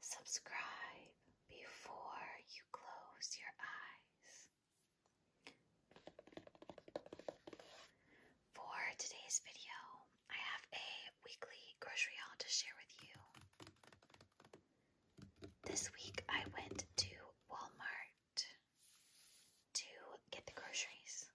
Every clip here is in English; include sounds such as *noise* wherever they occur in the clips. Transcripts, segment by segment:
Subscribe before you close your eyes. For today's video, I have a weekly grocery haul to share with you. This week I went to Walmart to get the groceries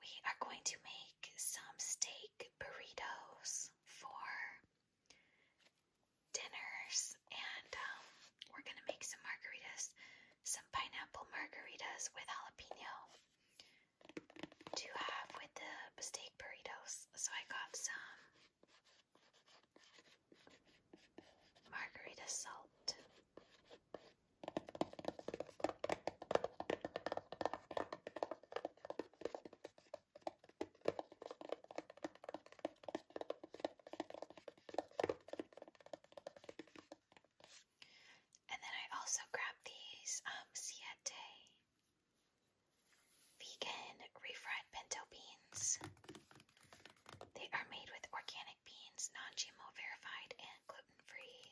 we are going to make some steak burritos for dinners, and um, we're gonna make some margaritas, some pineapple margaritas with jalapeno to have with the steak burritos. So I got some margarita salt. And then I also grabbed these um, vegan refried pinto beans. They are made with organic beans, non GMO verified, and gluten free.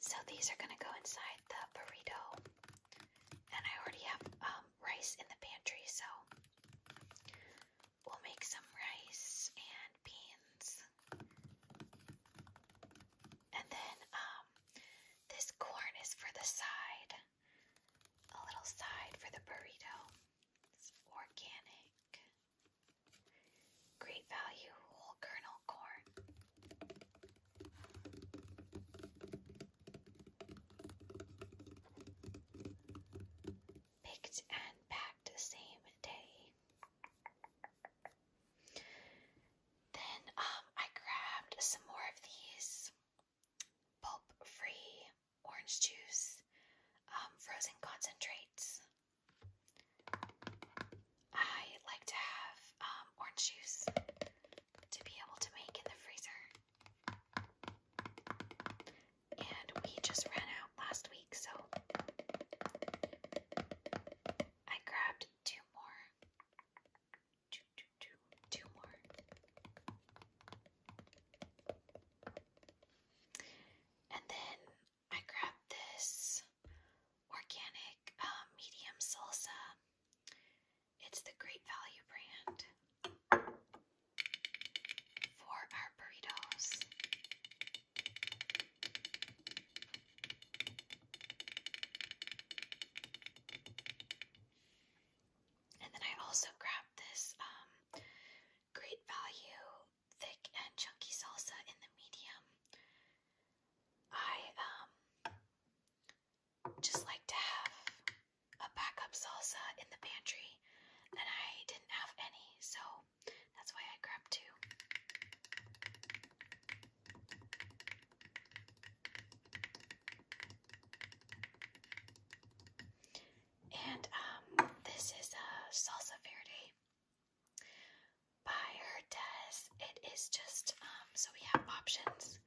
So these are gonna go inside the burrito, and I already have um, rice in the pantry, so we'll make some rice and beans, and then um, this corn is for the side, a little side for the burrito. It's organic, great value, whole kernel corn. Picked and packed the same day. Then um, I grabbed some more of these pulp free orange juice, um, frozen concentrates. I like to have um, orange juice to be able to make in the freezer. And we just ran out last week, so I grabbed two more. Two, two, two, two more. And then I grabbed this organic um, medium salsa. It's the Great Value brand for our burritos. And then I also grabbed this um, Great Value thick and chunky salsa in the medium. I um, just like to have a backup salsa in the pantry, and I didn't have any, so that's why I grabbed two. And um, this is a salsa verde. By her test, it is just um, so we have options.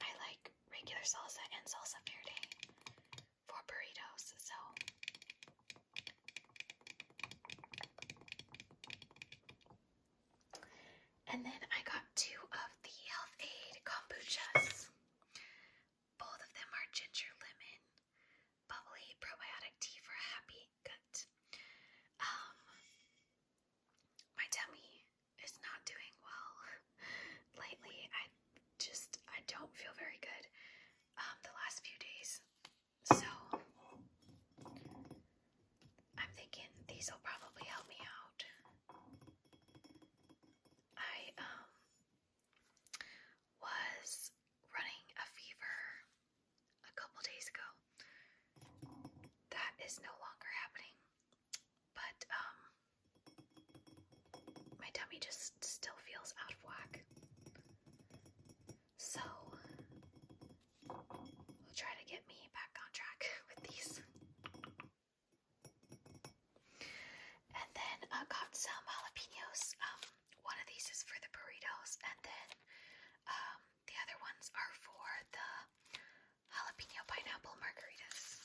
I like regular salsa and salsa verde for burritos, so and then I got two of the Health Aid kombuchas. Both of them are ginger lemon, bubbly probiotic tea for a happy gut. Um, my tummy is not doing well *laughs* lately. I just I don't feel very good um, the last few days. So I'm thinking these will probably help me out. I um was running a fever a couple days ago. That is no longer happening. But um my tummy just still feels out of whack. So we'll try to get me back on track *laughs* with these. And then I uh, got some jalapenos. Um, one of these is for the burritos, and then um, the other ones are for the jalapeno pineapple margaritas.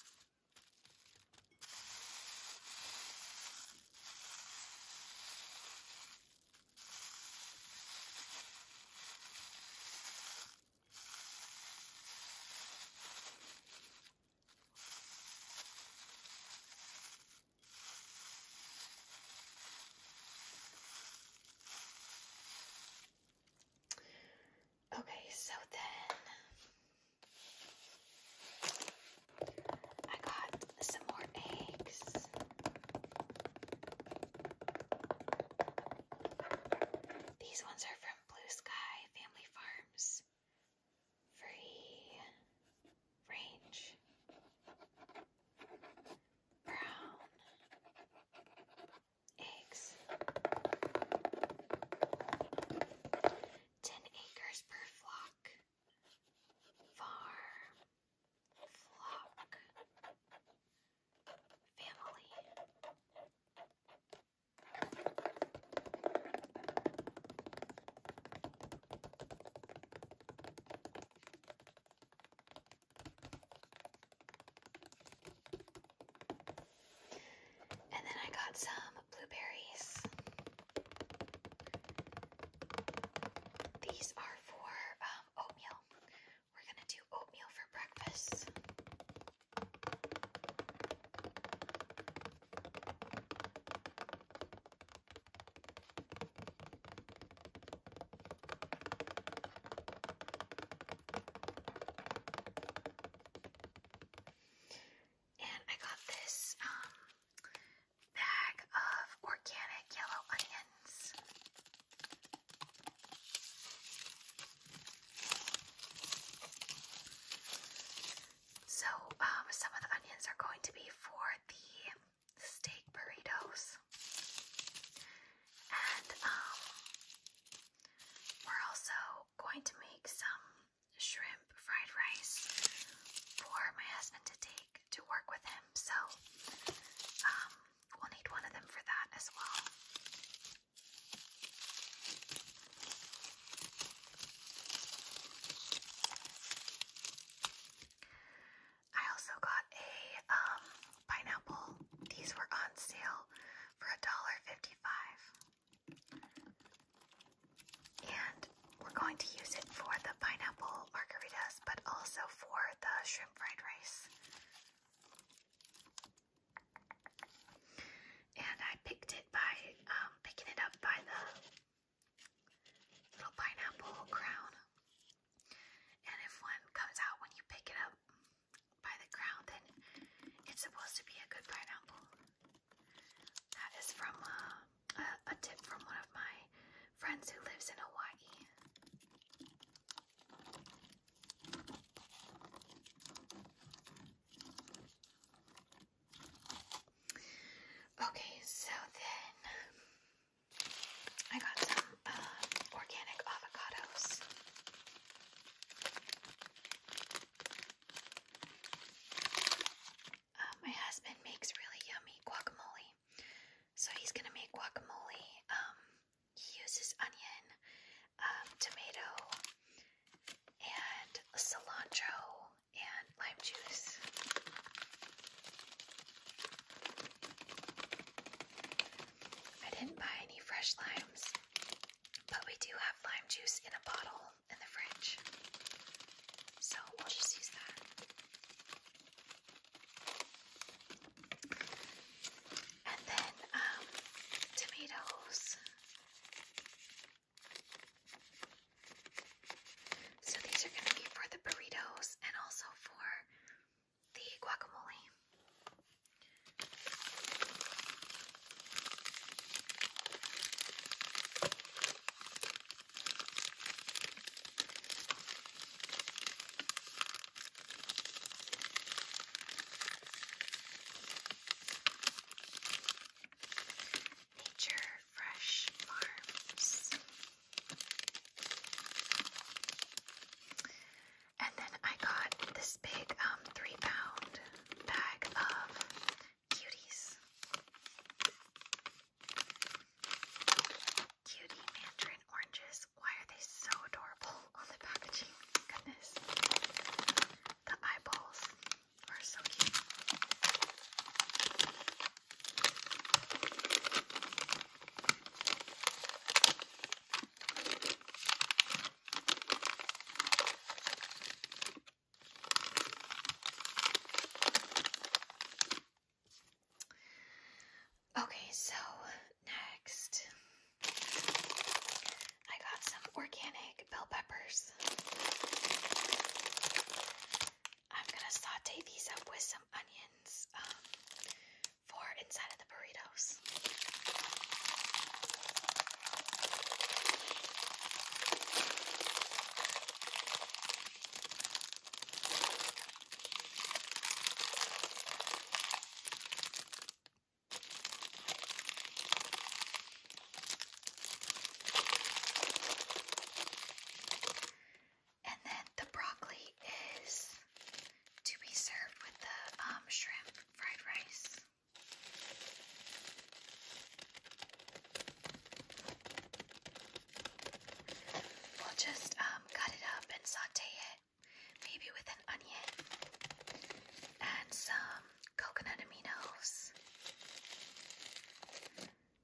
Okay, so then I got some more eggs. These ones are from Blue Sky Family Farms. Free range brown eggs. 10 acres per flock. Farm. Flock. Family. And then I got some blueberries. These are for um, oatmeal. We're going to do oatmeal for breakfast. And I got this um, bag of organic yellow onions. So, um, some of the onions are going to be for the steak burritos and um, we're also going to make some shrimp fried rice for my husband to take to work with him. So um, we'll need one of them for that as well. I also got a um, pineapple these were on sale for $1.55. And we're going to use it for the pineapple margaritas, but also for the shrimp fried rice. And I picked it by um, picking it up by the little pineapple crown. And if one comes out when you pick it up, by the ground, then it's supposed to be a good pineapple. That is from uh, a tip from one of my friends who lives in Hawaii. Okay, so then I got some organic avocados. Uh, my husband makes really yummy guacamole. So he's gonna make guacamole. Um, he uses onion, um, tomato, and cilantro, and lime juice. I didn't buy any fresh limes, but we do have lime juice in a bottle in the fridge. So we'll just use that. And then um, tomatoes. So these are going to be for the burritos and also for the guacamole. Nature Fresh Farms. And then I got this big um, three pound bag of cuties. Cutie mandarin oranges. Why are they so adorable on the packaging? Goodness. The eyeballs are so cute. Okay, so next I got some organic bell peppers. I'm gonna saute these up with some onions. Um, for inside of the burritos. And then the broccoli is to be served with the um, shrimp fried rice. We'll just um, cut it up and saute it, maybe with an onion and some coconut aminos,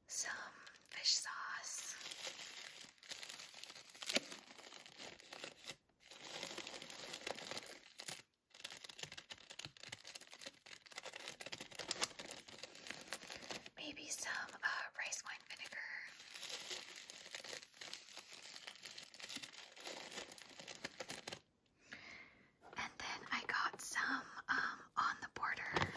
some fish sauce. Maybe some uh, rice wine vinegar. And then I got some um, on the border.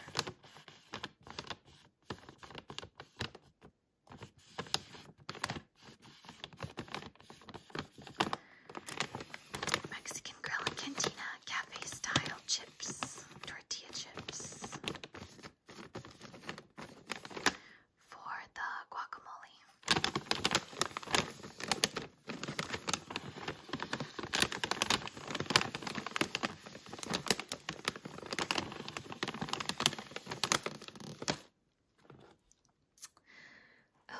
Mexican Grill Cantina Cafe Style Chips, Tortilla Chips. For the guacamole.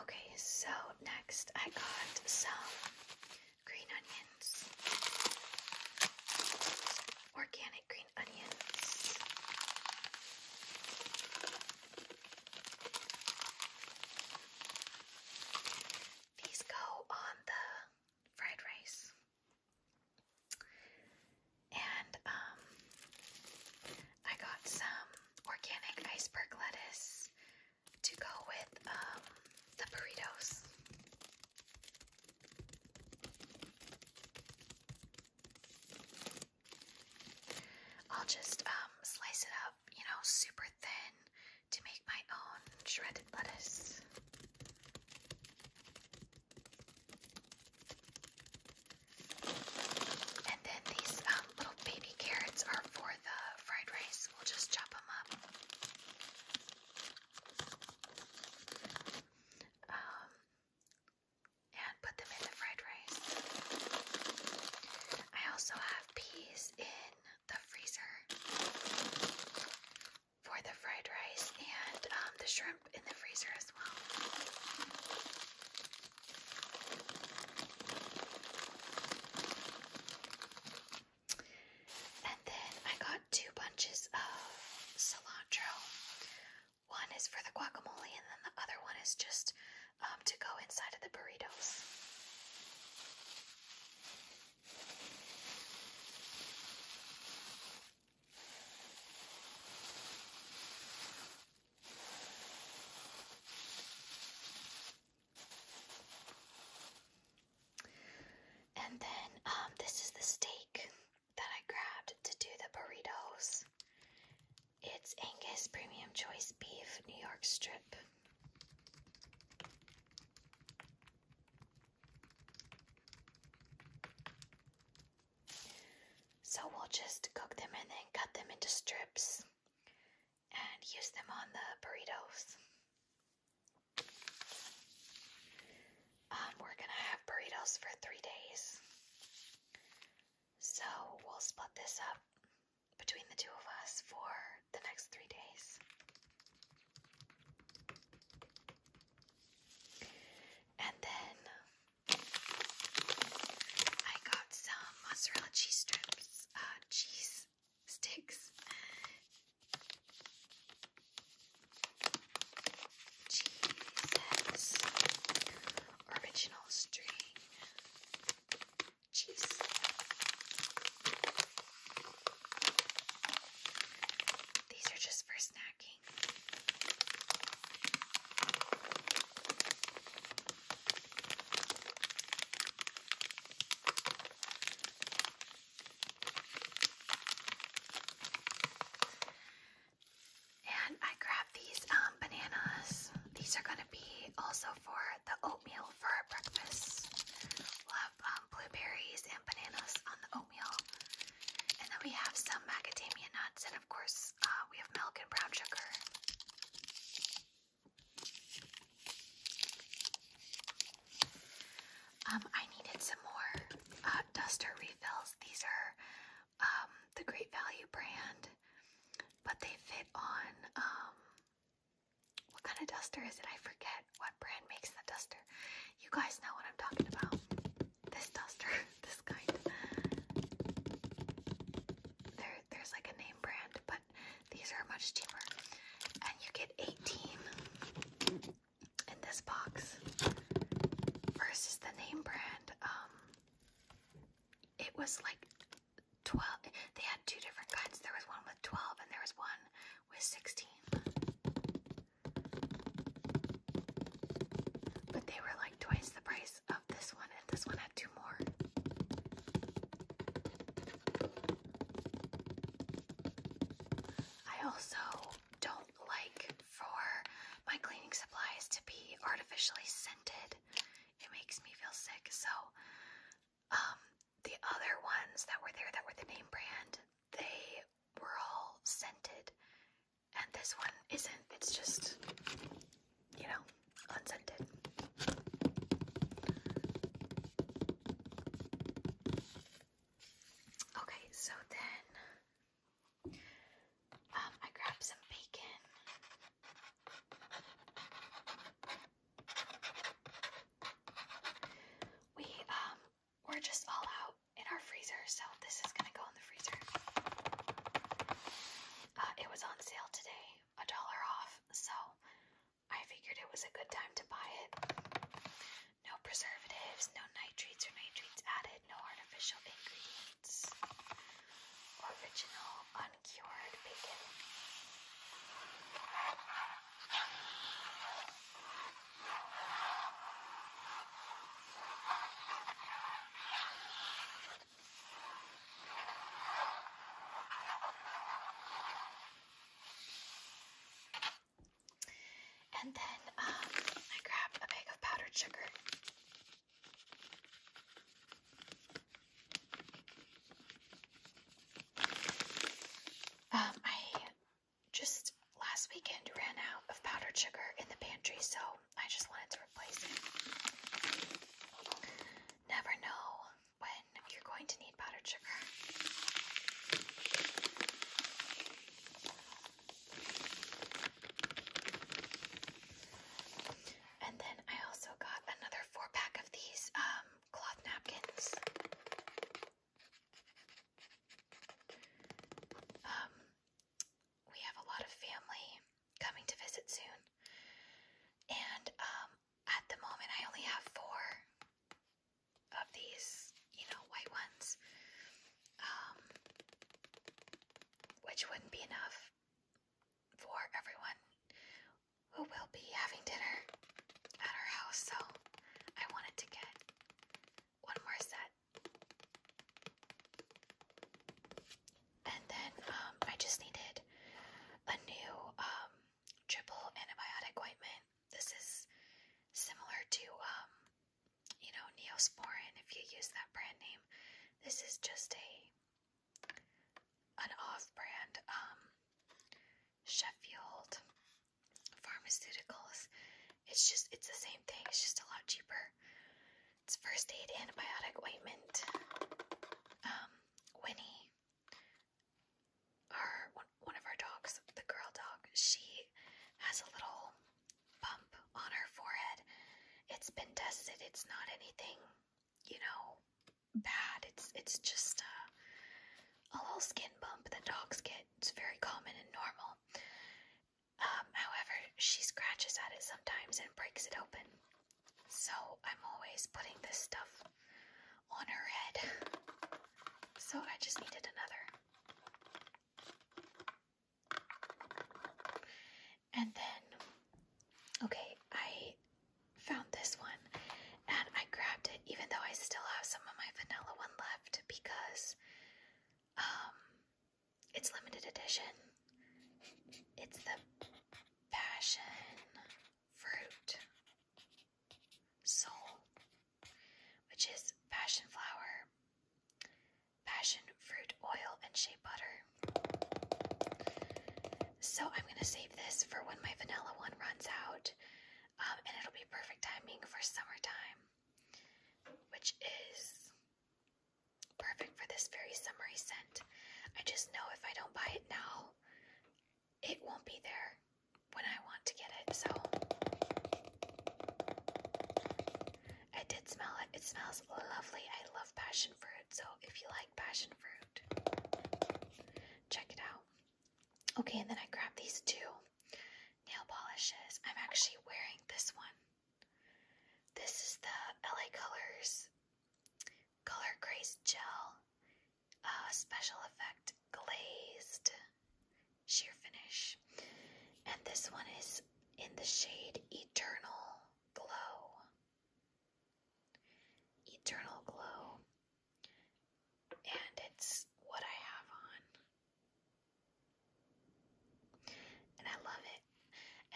Okay, so next I got some green onions, organic green onions. These go on the fried rice and um, I got some organic iceberg lettuce to go with um, the burritos. I'll just um, slice it up, you know, super thin to make my own shredded lettuce. And then these um, little baby carrots are for the fried rice. We'll just chop them up. Um, and put them in the fried rice. I also have peas in the freezer for the fried rice and um, the shrimp in the freezer as well. And then I got two bunches of cilantro. One is for the guacamole, and then the other one is just um, to go inside of the burritos. And then um, this is the steak that I grabbed to do the burritos. It's Angus Premium Choice Beef New York Strip. So we'll just cook them and then cut them into strips and use them on the burritos. Um, we're gonna have burritos for three days. So we'll split this up between the two of us for the next three days. And then I got some mozzarella cheese strips, uh, cheese sticks, original string, cheese, these are just for snacking. And I grabbed these um, bananas. These are going to be also for the oatmeal for breakfast. we um, blueberries and bananas on the oatmeal. And then we have some macadamia nuts in of course, uh, we have milk and brown sugar. Um, I needed some more uh, duster refills. These are um, the Great Value brand, but they fit on um, what kind of duster is it? I forget what brand makes the duster. You guys know what I'm talking about. This duster, *laughs* this there, there's like a name brand, but these are much cheaper. And you get 18 in this box versus the name brand. Um, it was like 12. They had two different kinds. There was one with 12 and there was one with 16. But they were like twice the price of oh, this one, and this one had two more. I also don't like for my cleaning supplies to be artificially scented. It makes me feel sick. So, um, the other ones that were there that were the name brand, they were all scented. And this one isn't. It's just you know, unscented. Okay, so then um, I grabbed some bacon. We um we're just all out in our freezer, so this is gonna go in the freezer. Uh, it was on sale today a dollar off, so I figured it was a good time to buy it. No preservatives, no nitrates or nitrates added, no artificial ingredients. Original, uncured bacon. And then um, I grabbed a bag of powdered sugar. Um, I just last weekend ran out of powdered sugar in the pantry, so I just wanted to replace it never know when you're going to need powdered sugar. And then I also got another four pack of these um, cloth napkins. Um, we have a lot of family coming to visit soon. And um, at the moment, I only have four of these, you know, white ones, um, which wouldn't be enough for everyone who will be having dinner at our house. So I wanted to get one more set and then um, I just needed a new um, triple antibiotic ointment. This is similar to, um, you know, Neosporin if you use that brand name. This is just a an off-brand um, Sheffield Pharmaceuticals. It's just it's the same thing. It's just a lot cheaper. It's first aid antibiotic ointment. Um, Winnie, our one, one of our dogs, the girl dog, she has a little bump on her forehead. It's been tested. It's not anything, you know, bad. It's it's just a, a little skin bump that dogs get. It's very common and normal. Um, however, she scratches at it sometimes and breaks it open. So I'm always putting this stuff on her head. So I just needed another. And then, okay, I found this one and I grabbed it even though I still have some of my vanilla one left because um, it's limited edition. It's the passion fruit soul, which is passion flower, passion fruit oil, and shea butter. So I'm going to save this for when my vanilla one runs out, um, and it'll be perfect timing for summertime, which is perfect for this very summery scent. I just know if I don't buy it now, it won't be there when I want to get it. So I did smell it. It smells lovely. I love passion fruit. So if you like passion fruit, check it out. Okay, and then I grab these two nail polishes. I'm actually wearing this one. This is the LA Colors Color Grace Gel, uh, Special Effect Glazed Sheer Finish. And this one is in the shade Eternal Glow. Eternal Glow. And it's what I have on. And I love it.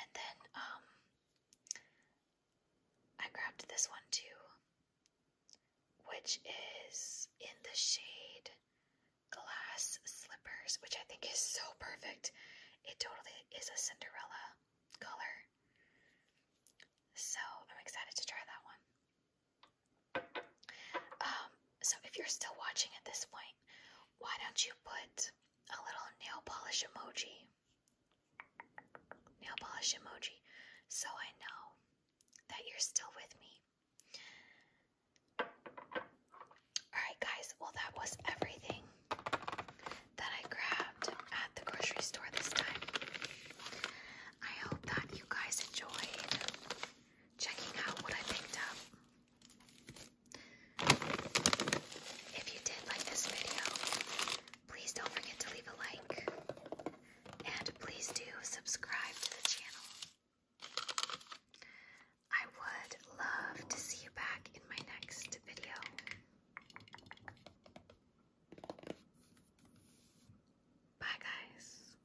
And then, um, I grabbed this one too, which is in the shade Glass Slippers, which I think is so perfect. It totally is a Cinderella color. So I'm excited to try that one. Um, so if you're still watching at this point, why don't you put a little nail polish emoji nail polish emoji, so I know that you're still with me. Alright, guys, well, that was everything that I grabbed at the grocery store this time. I hope that you guys enjoyed checking out what I picked up. If you did like this video, Please don't forget to leave a like. And please do subscribe to the channel. I would love to see you back in my next video. Bye, guys.